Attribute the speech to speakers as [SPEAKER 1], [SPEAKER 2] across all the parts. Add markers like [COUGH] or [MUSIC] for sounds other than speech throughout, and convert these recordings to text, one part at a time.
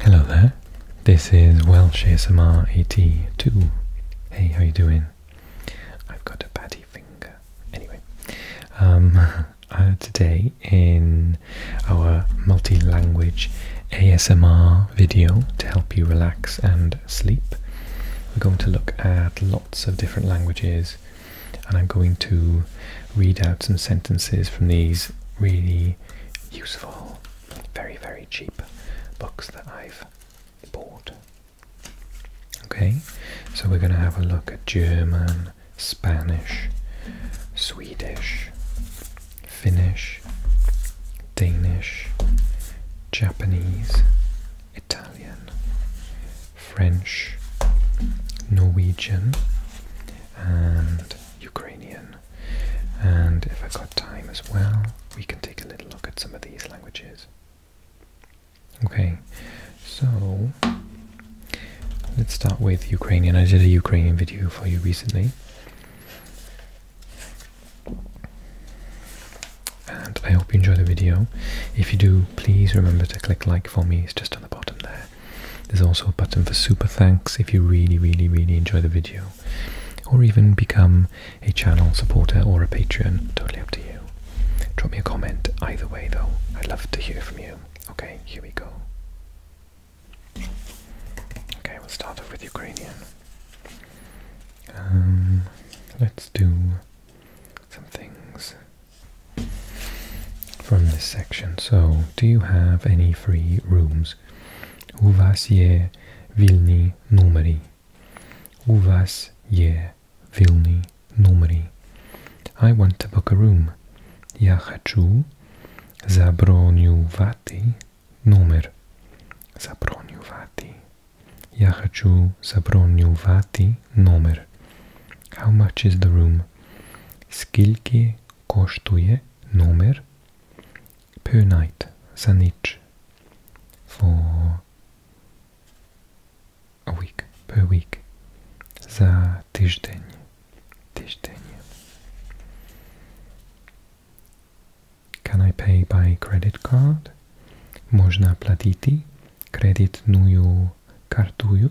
[SPEAKER 1] Hello there, this is Welsh ASMR 82. Hey, how you doing? I've got a patty finger. Anyway, um, [LAUGHS] uh, today in our multi-language ASMR video to help you relax and sleep, we're going to look at lots of different languages and I'm going to read out some sentences from these really useful, very, very cheap books that I've bought. Okay, so we're going to have a look at German, Spanish, Swedish, Finnish, Danish, Japanese, Italian, French, Norwegian, and Ukrainian. And if I've got time as well, we can take a little look at some of these languages. Okay, so let's start with Ukrainian. I did a Ukrainian video for you recently. And I hope you enjoyed the video. If you do, please remember to click like for me. It's just on the bottom there. There's also a button for super thanks if you really, really, really enjoy the video, or even become a channel supporter or a patron. Totally up to you. Drop me a comment either way, though. I'd love to hear from you. Okay, here we go. Okay, we'll start off with Ukrainian. Um, let's do some things from this section. So, do you have any free rooms? У вас є вільні номери? У вас є вільні номери? I want to book a room. Я хочу забронювати номер. Забронювати. Я хочу забронювати номер. How much is the room? Скільки коштує номер per night за ніч for a week, per week за тиждень. Тиждень. Can I pay by credit card? Можна платити кредитною картою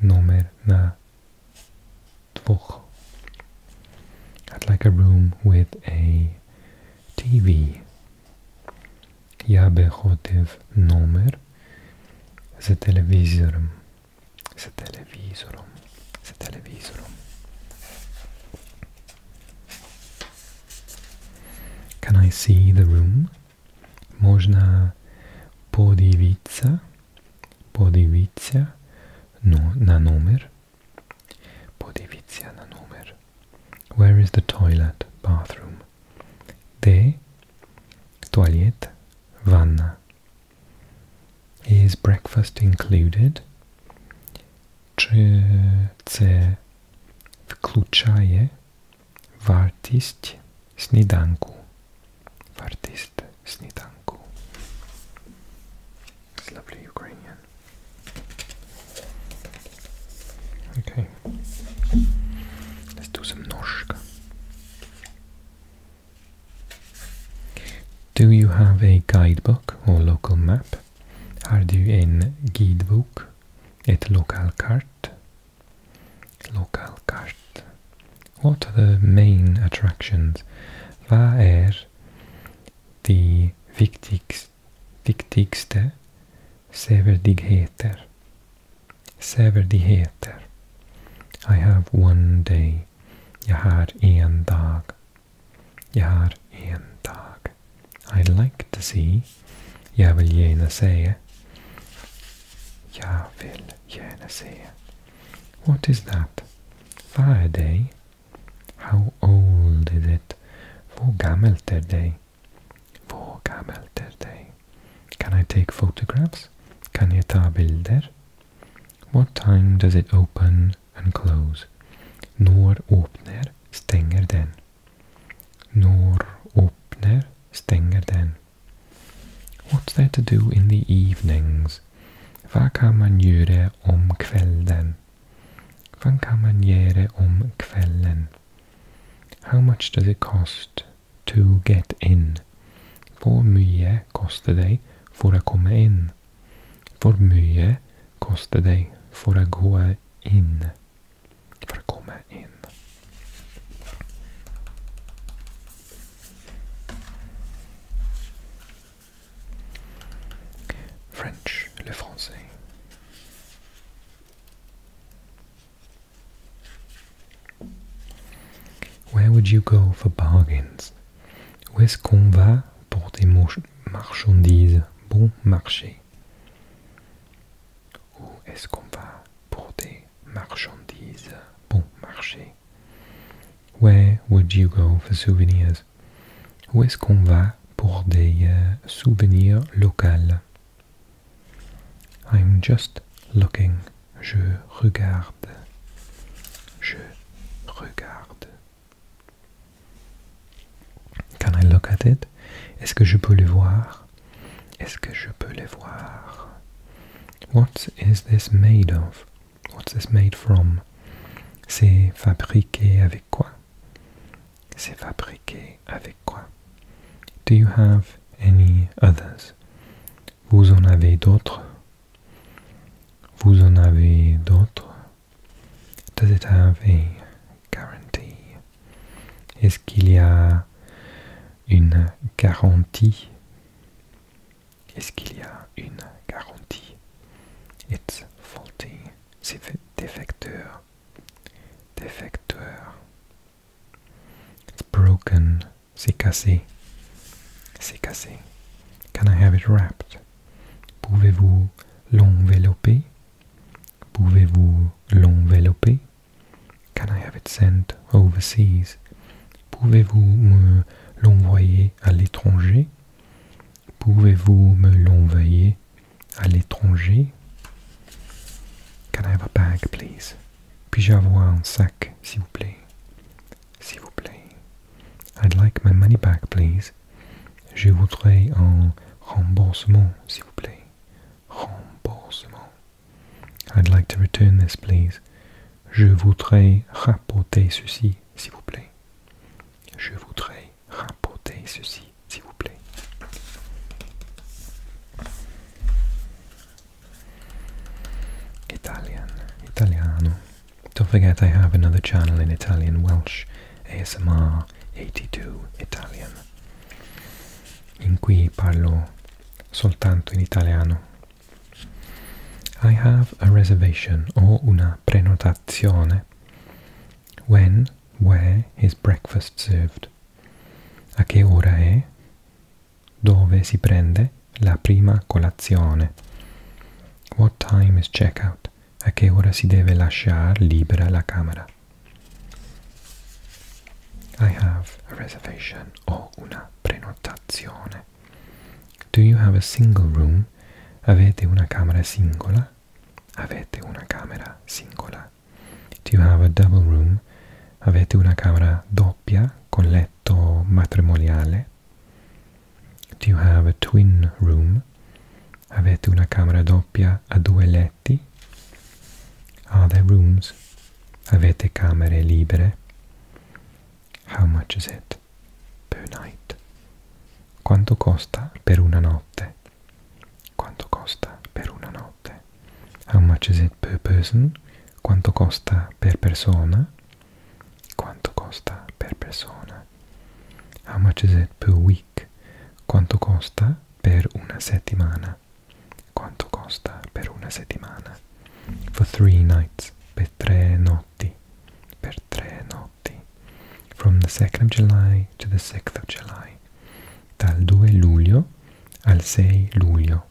[SPEAKER 1] numer na dvoch. I'd like a room with a TV. Я би хотів номер з телевізором. З телевізором. З телевізором. Can I see the room? Можно подивиться, подивиться no, на номер. Подивиться на номер. Where is the toilet, bathroom? Де туалет, ванна. Is breakfast included? Czy це включає Vartišť snídanku. Vartišť snídanku. It's lovely Ukrainian. Okay. Let's do some noshka. Do you have a guidebook or local map? Har du en guidebok? Ett lokalkart? Lokalkart. What are the main attractions? Vad är er de viktigst, viktigste sevärdheter? Sevärdheter. I have one day. Jag har en dag. Jag har en dag. I like to see. Jag vill gärna se. Jag vill er. What is that? Fire day. How old is it? Hvor gammelt är er det? Hvor gammelt är er det? Can I take photographs? Kan jag ta bilder? What time does it open and close? Nor öppnar, stänger den. Nor öppnar, stänger den. What's there to do in the evenings? Vad kan man göra om kvällen? Vad kan man göra om kvällen? How much does it cost to get in? Hur mycket kostar det för att komma in? Hur mycket kostar det för att gå in? för French, le français. Where would you go for bargains? Où est-ce qu'on va pour des marchandises bon marché? Où est-ce qu'on va pour des Marchandise bon marché. Where would you go for souvenirs? Où est-ce qu'on va pour des euh, souvenirs locaux? I'm just looking. Je regarde. Je regarde. Can I look at it? Est-ce que je peux le voir? Est-ce que je peux les voir? What is this made of? What's this made from? C'est fabriqué avec quoi? C'est fabriqué avec quoi? Do you have any others? Vous en avez d'autres? Vous en avez d'autres? Does it have a guarantee? Est-ce qu'il y a une garantie Est-ce qu'il y a une garantie It's faulty. C'est défecteur. Défecteur. It's broken. C'est cassé. C'est cassé. Can I have it wrapped? Pouvez-vous l'envelopper? Pouvez-vous l'envelopper? Can I have it sent overseas? Pouvez-vous me l'envoyer à l'étranger? Pouvez-vous me l'envoyer à l'étranger? Can I have a bag, please? Puis-je avoir un sac, s'il vous plaît? S'il vous plaît. I'd like my money back, please. Je voudrais un remboursement, s'il vous plaît. Remboursement. I'd like to return this, please. Je voudrais rapporter ceci, s'il vous plaît. Je voudrais rapporter ceci, s'il vous plaît. Italian, Italiano. Don't forget I have another channel in Italian Welsh, ASMR 82 Italian, in cui parlo soltanto in italiano. I have a reservation o una prenotazione. When, where is breakfast served? A che ora è? Dove si prende la prima colazione? What time is checkout? A che ora si deve lasciare libera la camera? I have a reservation. Ho una prenotazione. Do you have a single room? Avete una camera singola? Avete una camera singola. Do you have a double room? Avete una camera doppia con letto matrimoniale? Do you have a twin room? Avete una camera doppia a due letti? letti? Are ah, there rooms? Avete camere libere? How much is it per night? Quanto costa per una notte? Quanto costa per una notte? How much is it per person? Quanto costa per persona? Quanto costa per persona? How much is it per week? Quanto costa per una settimana. Quanto costa per una settimana? For three nights, per tre notti, per tre notti. From the 2nd of July to the 6th of July. Dal 2 luglio al 6 luglio.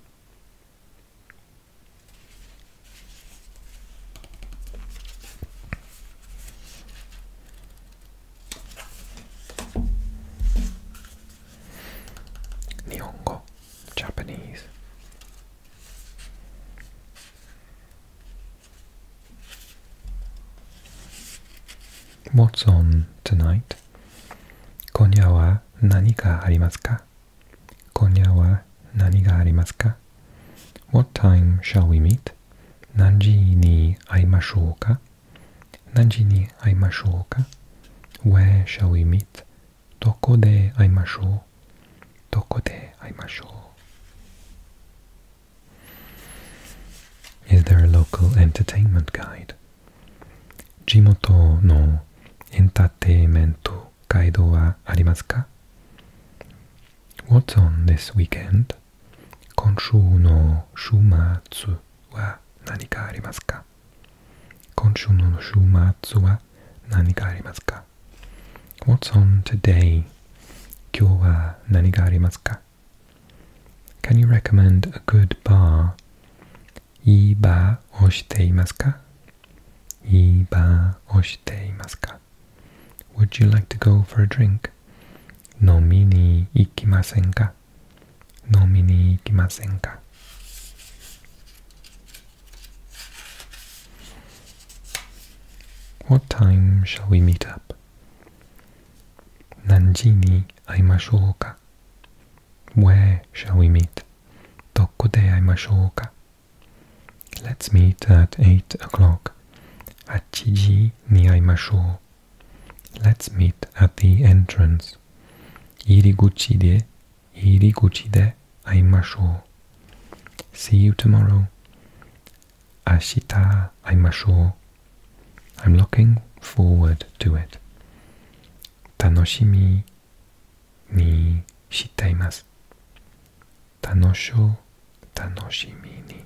[SPEAKER 1] 日本語 Japanese もつ on tonight 今夜は何がありますか今夜は何がありますか What time shall we meet? 何時に会いましょうか何時に会いましょうか ?Where shall we meet? どこで会いましょうどこで会いましょう ?Is there a local entertainment guide? 地元のエンターテイメントガイドはありますか ?What's on this weekend? 今週の週末は何かありますか今週の週末は何かありますか ?What's on today? 今日は何がありますか Can you recommend a good bar? いいバーをしていますかいいバーをしていますか Would you like to go for a drink? 飲みに行きませんか What time shall we meet up? 何時に会いましょうか ?Where shall we meet? どこで会いましょうか ?Let's meet at 8 o'clock. ni 8時に会いましょう。Let's meet at the entrance. Iriguchi de, iriguchi de aimashou. See you tomorrow. Ashita aimashou. I'm looking forward to it. Tanoshimi ni shitaimasu. Tanosho, tanoshimi ni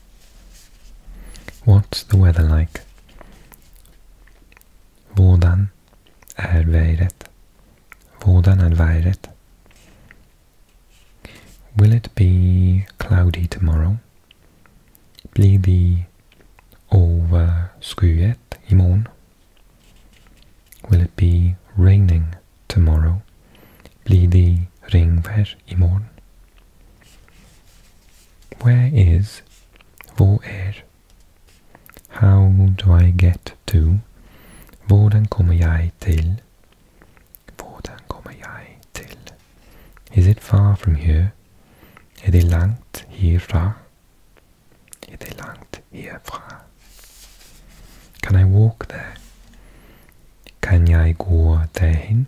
[SPEAKER 1] What's the weather like? Vordan er været? Vordan er været? Will it be cloudy tomorrow? Blir det overskyet i morgen? Will it be raining tomorrow? Blir det regnvær i morgen? Where is Hvor är? How do I get to? Hvordan kommer jeg til? Hvordan kommer jeg til? Is it far from here? Er det langt herfra? Er det langt herfra? Can I walk there? Kan jeg gå derhen?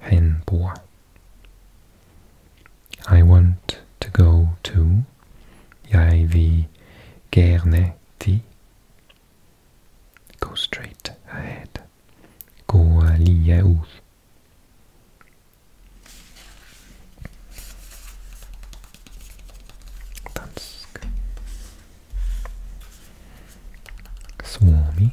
[SPEAKER 1] Henbo. I want to go to Jeg vil gerne ti. Go straight ahead. Gå uh, lige ud. Dansk. Suomi.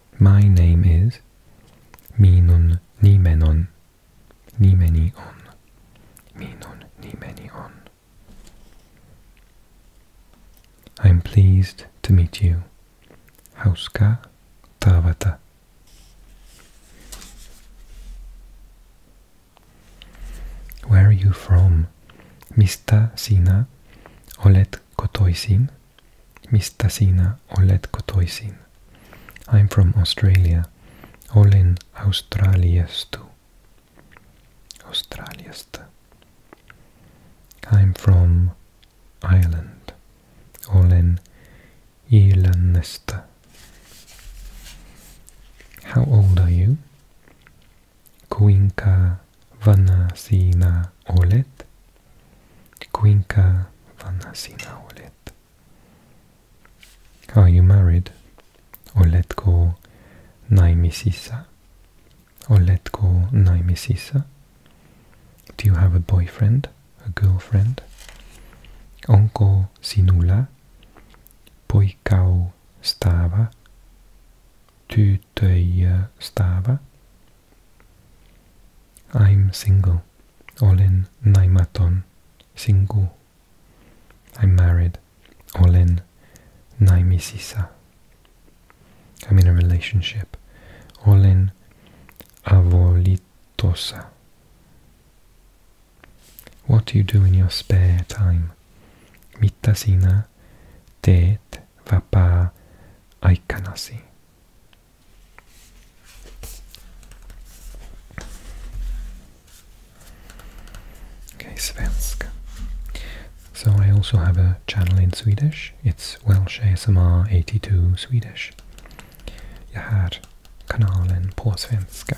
[SPEAKER 1] My name is Minun Nimenon. Nimeni on. Minun Nimeni on. I am pleased to meet you. Hauska Tavata. Where are you from? Mista Sina Olet kotoisin? Mistä sinä olet kotoisin? I'm from Australia. Olen Australiasta. Australiasta. I'm from Ireland. Olen Irlannesta. How old are you? Kuinka Vanasina Olet, Quinca Vanasina Olet. Are you married? Oletko Naimisisa. Oletko Naimisisa. Do you have a boyfriend, a girlfriend? Onko sinula? Poikau stava? Tu tej eh, stava. I'm single. Olen naimaton. Single. I'm married. Olen naimisisa. I'm in a relationship. Olen avolitosa. What do you do in your spare time? Mitä sinä teet vapaa-aikanasi? Okay, svenska. So I also have a channel in Swedish. It's Welsh ASMR 82 Swedish. Jag har kanalen på svenska.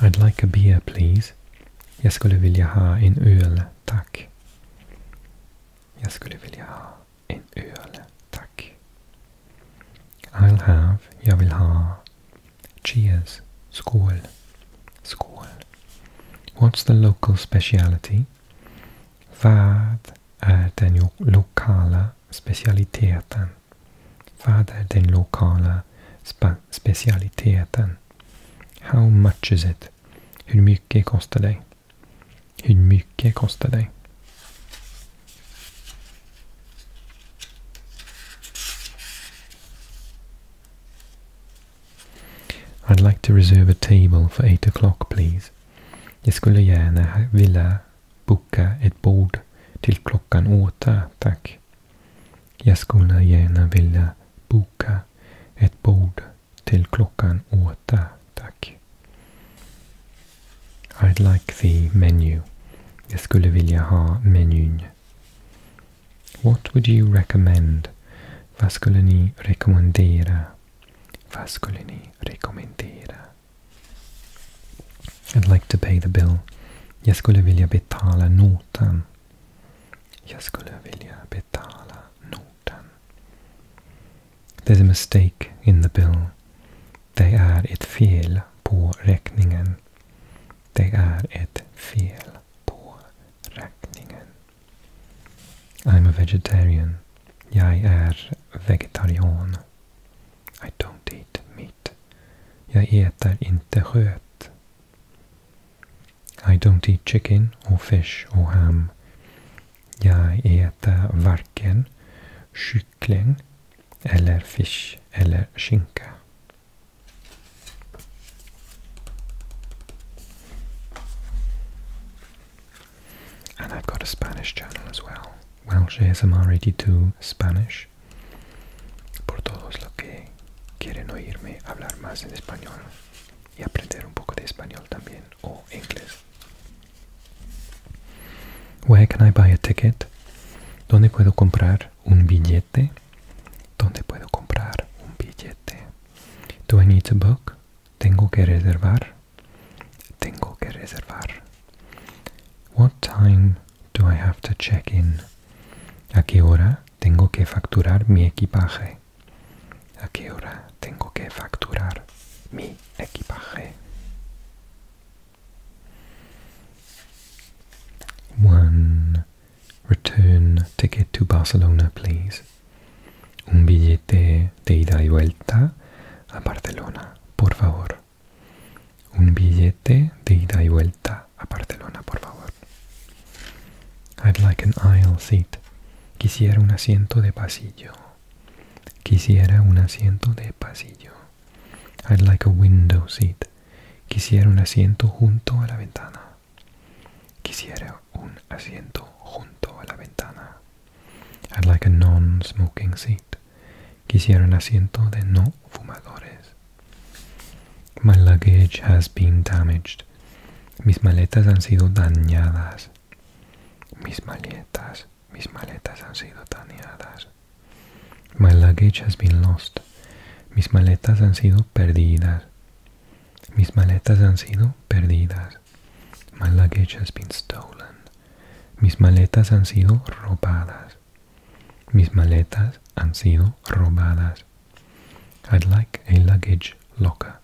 [SPEAKER 1] I'd like a beer please. Jag skulle vilja ha en öl, tack. Jag skulle vilja ha en öl, tack. I'll have, jag vill ha. Cheers, skål, skål. What's the local speciality? Vad är den lokala specialiteten? Vad är den lokala specialiteten? How much is it? Hur mycket kostar det? Hur mycket kostar det? I'd like to reserve a table for eight o'clock please. Jag skulle gärna vilja Boka ett bord till klockan åtta, tack. Jag skulle gärna vilja boka ett bord till klockan åtta, tack. I'd like the menu. Jag skulle vilja ha menyn. What would you recommend? Vad skulle ni rekommendera? Vad skulle ni rekommendera? I'd like to pay the bill. Jag skulle vilja betala notan. Jag skulle vilja betala notan. There's a mistake in the bill. Det är ett fel på räkningen. Det är ett fel på räkningen. I'm a vegetarian. Jag är vegetarian. I don't eat meat. Jag äter inte kött. I don't eat chicken och fish och ham. Jag äter varken kyckling eller fisk eller skinka. And I've got a Spanish channel as well. Welsh ASMR82 Spanish. Por todos los que quieren oírme hablar más en español y aprender un poco de español también o inglés. Where can I buy a ¿Dónde puedo comprar un billete? ¿Dónde puedo comprar un billete? Do I book? ¿Tengo que reservar? Tengo que reservar. What time do I have to check in? ¿A qué hora tengo que facturar mi equipaje? ¿A qué hora tengo que facturar mi equipaje? One return ticket to Barcelona, please. Un billete de ida y vuelta a Barcelona, por favor. Un billete de ida y vuelta a Barcelona, por favor. I'd like an aisle seat. Quisiera un asiento de pasillo. Quisiera un asiento de pasillo. I'd like a window seat. Quisiera un asiento junto a la ventana. Quisiera un asiento junto a la ventana. I'd like a non-smoking seat. Quisieron asiento de no fumadores. My luggage has been damaged. Mis maletas han sido dañadas. Mis maletas, mis maletas han sido dañadas. My luggage has been lost. Mis maletas han sido perdidas. Mis maletas han sido perdidas. My luggage has been stolen. Mis maletas han sido robadas. Mis maletas han sido robadas. I'd like a luggage locker.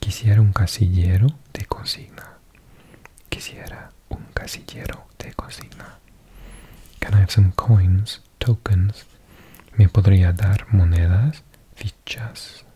[SPEAKER 1] Quisiera un casillero de consigna. Quisiera un casillero de consigna. Can I have some coins, tokens? ¿Me podría dar monedas, fichas,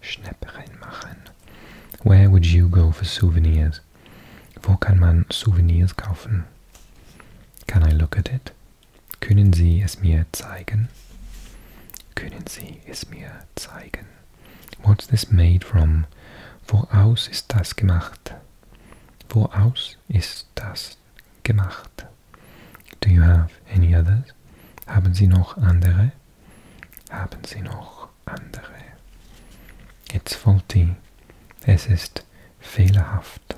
[SPEAKER 1] Schnapp reinmachen. Where would you go for souvenirs? Wo kann man Souvenirs kaufen? Can I look at it? Können Sie es mir zeigen? Können Sie es mir zeigen? What's this made from? Woraus ist das gemacht? Woraus ist das gemacht? Do you have any others? Haben Sie noch andere? Haben Sie noch andere? It's faulty. Es ist fehlerhaft.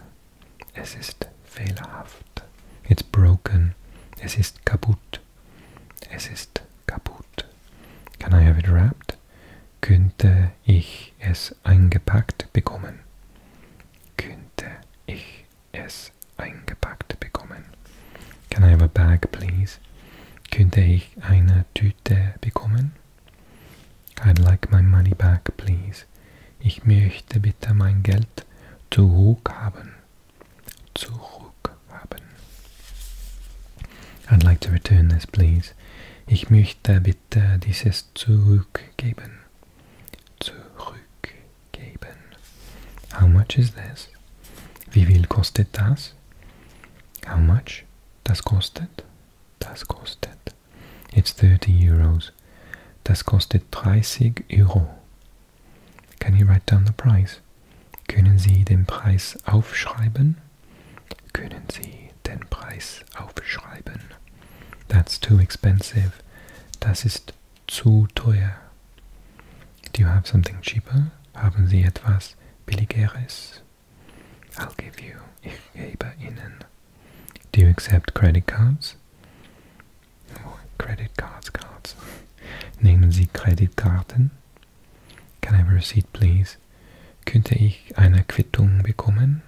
[SPEAKER 1] Es ist fehlerhaft. It's broken. Es ist kaputt. Es ist kaputt. Can I have it wrapped? Könnte ich es eingepackt bekommen? Könnte ich es eingepackt bekommen. Can I have a bag, please? Könnte ich eine Tüte bekommen? I'd like my money back, please. Ich möchte bitte mein Geld zurückhaben. Zurückhaben. I'd like to return this, please. Ich möchte bitte dieses zurückgeben. Zurück geben. How much is this? Wie viel kostet das? How much? Das kostet? Das kostet. It's 30 euros. Das kostet 30 Euro. Can you write down the price? Können Sie den Preis aufschreiben? Können Sie den Preis aufschreiben? That's too expensive. Das ist zu teuer. Do you have something cheaper? Haben Sie etwas billigeres? I'll give you. Ich gebe Ihnen. Do you accept credit cards? Oh, credit cards, cards. Nehmen Sie Kreditkarten? Can I have a receipt, please? Könnte ich eine Quittung bekommen?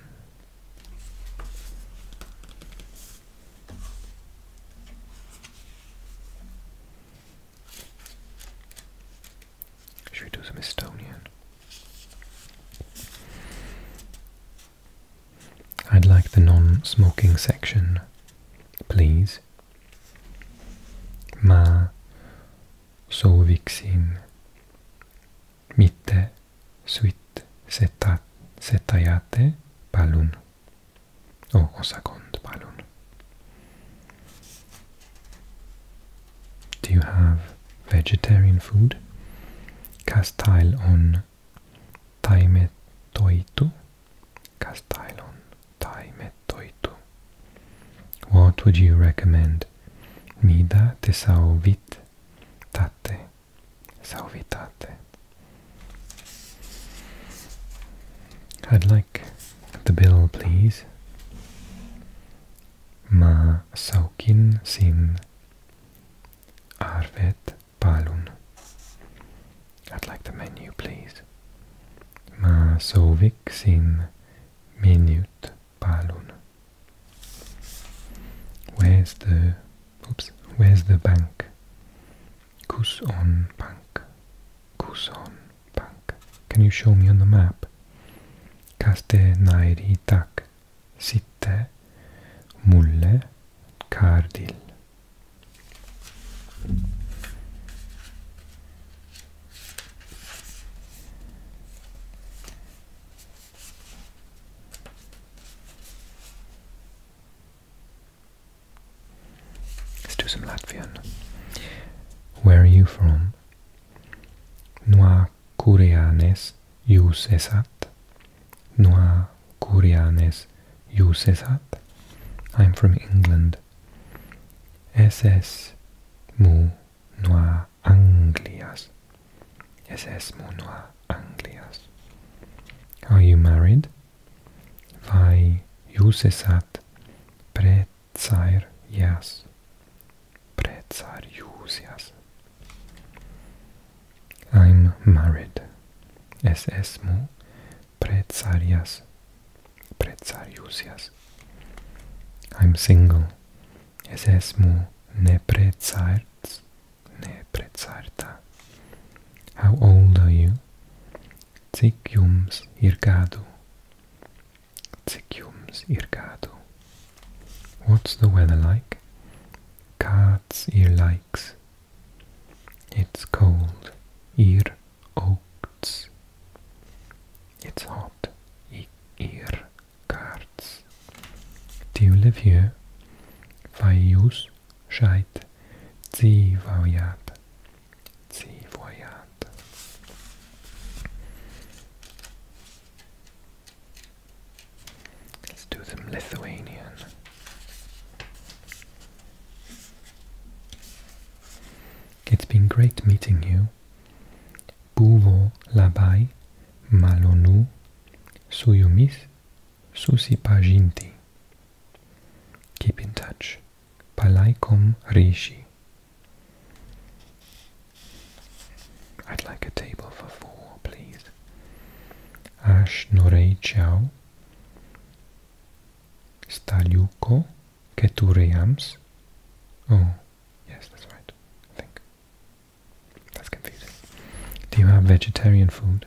[SPEAKER 1] Should we do some Estonian? I'd like the non-smoking section, please. Ma sooviksin mitte suit setajate palun o, second pylon. Do you have vegetarian food? on toitu? Castailon taimetoitu. Castailon toitu. What would you recommend? Mida te sauvit tate. Sauvitate. I'd like the bill, please. Ma saukin sin arvet palun. I'd like the menu, please. Ma sovik sin minut palun. Where's the oops? Where's the bank? Kuson Bank. Kuson Bank. Can you show me on the map? Kastenairittak. Sitte. Mulle. Kardil. Let's do some Latvian. Where are you from? No kurianes jūs esat? No kurianes jūs esat? I'm from England. Es mu no Anglias. Es mu no Anglias. Are you married? vai jūsesat priecājūsies. I'm married. Es esmu priecājas, priecājūsies. I'm single. Es esmu nepriecāts, nepriecāta. How old are you? Cik jums ir gadu? Cik ir gadu? What's the weather like? Kāds ir laiks? It's cold. Ir augsts. It's hot. Ir kārts. Do you live here? Vai jūs Dzīvojāt. Let's do some Lithuanian. It's been great meeting you. Buvo labai malonu su jumis Susi Paginti. Keep in touch. Palaikom Rishi. I'd like a table for four, please. Ash Norei Chow. Staliuko Ketureams. Oh, yes, that's right. I think. That's confusing. Do you have vegetarian food?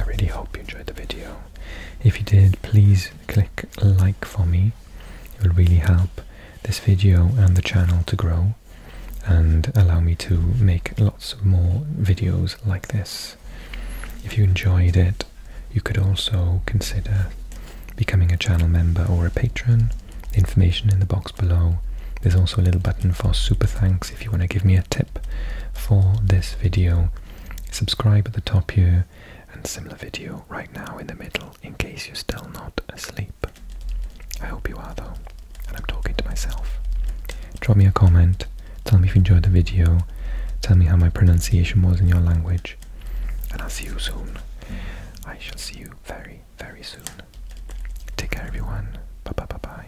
[SPEAKER 1] I really hope you enjoyed the video. If you did, please click like for me. It will really help this video and the channel to grow and allow me to make lots more videos like this. If you enjoyed it, you could also consider becoming a channel member or a patron. information in the box below. There's also a little button for super thanks if you want to give me a tip for this video Subscribe at the top here and similar video right now in the middle in case you're still not asleep. I hope you are though, and I'm talking to myself. Drop me a comment, tell me if you enjoyed the video, tell me how my pronunciation was in your language, and I'll see you soon. I shall see you very, very soon. Take care everyone. Bye bye bye bye.